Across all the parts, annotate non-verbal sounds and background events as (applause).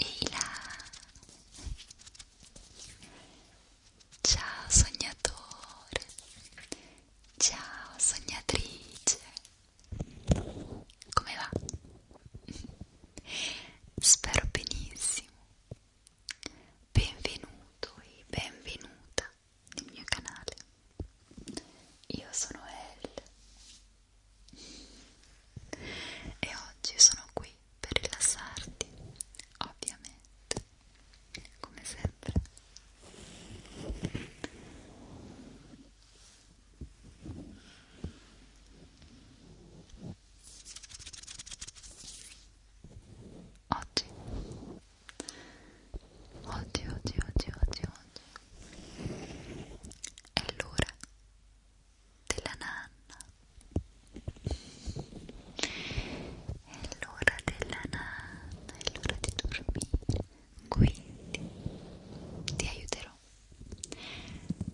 Ehi là! Ciao sognatore! Ciao sognatrice! Come va? (laughs) Spero benissimo. Benvenuto e benvenuta nel mio canale. Io sono Elle e oggi sono qui per rilassarti, ovviamente, come sempre. Oggi. Oggi, oggi, oggi, oggi, oggi. È l'ora della nanna. È l'ora della nanna, è l'ora di dormire. Quindi ti aiuterò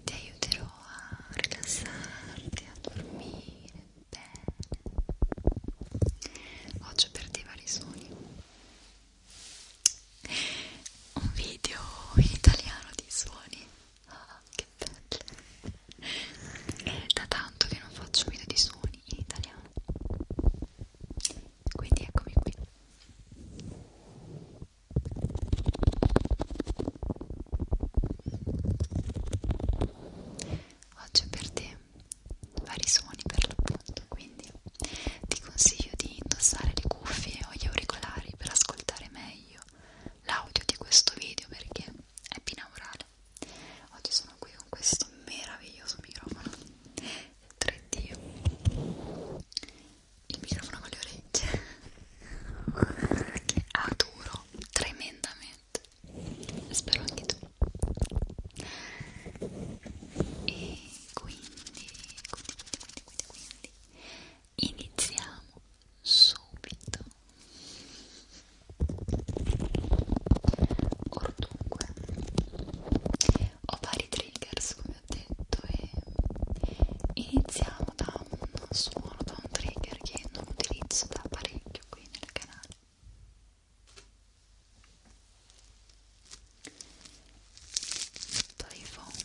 ti aiuterò a rilassarti, a dormire bene oggi per te vari sogni un video in italiano di suoni oh, che bello è da tanto che non faccio video di suoni in italiano quindi eccomi qui Oggi è per te vari suoni per l'appunto, quindi ti consiglio di indossare le cuffie o gli auricolari per ascoltare meglio l'audio di questo video perché è binaurale. Oggi sono qui con questo meraviglioso microfono 3D, il microfono con le orecchie che adoro tremendamente spero anche tu e quindi quindi quindi quindi, quindi iniziamo subito or dunque ho vari triggers come ho detto e iniziamo da un suono suono da un trigger che non utilizzo da parecchio qui nel canale Playphone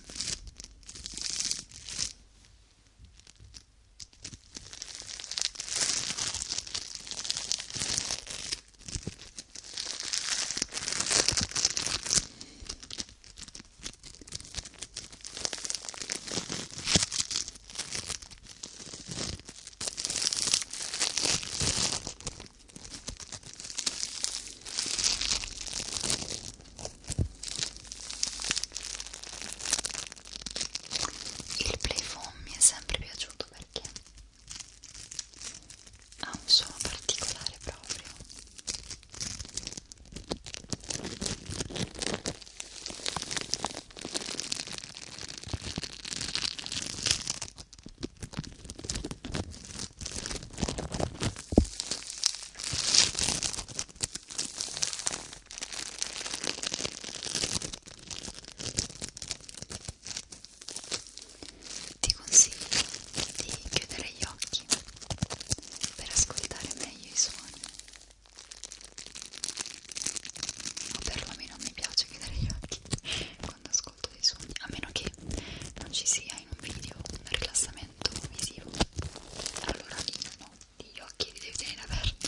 il playphone mi è sempre piaciuto perché ha un suono particolare proprio ti consiglio di chiudere gli occhi per ascoltare meglio i suoni o perlomeno mi piace chiudere gli occhi (laughs) quando ascolto dei suoni a meno che non ci sia in un video un rilassamento visivo allora lì no, gli occhi li devi tenere aperti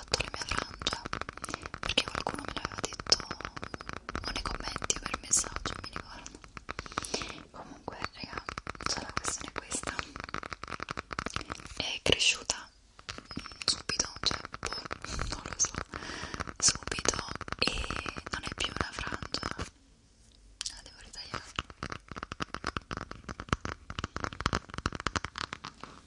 fatto la mia frangia perché qualcuno me l'aveva detto o nei commenti o per messaggio, mi ricordo comunque raga, cioè la questione è questa è cresciuta subito, cioè boh, (laughs) non lo so subito e non è più una frangia la devo ritagliare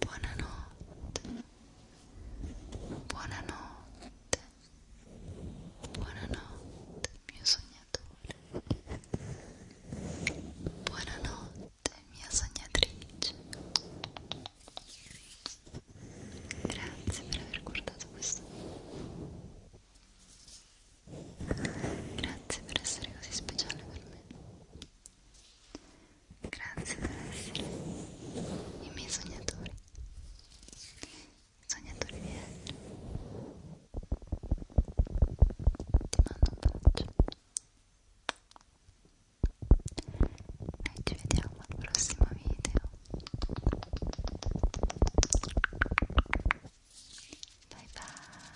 Buonanotte. Buonanotte. Buonanotte, mio sognatore. Buonanotte, mia sognatrice. Grazie per aver guardato questo video. Grazie per essere così speciale per me. Grazie per essere i miei sognatori. Sognatori di Elio. Ti mando un bacio. E ci vediamo al prossimo video. Bye bye.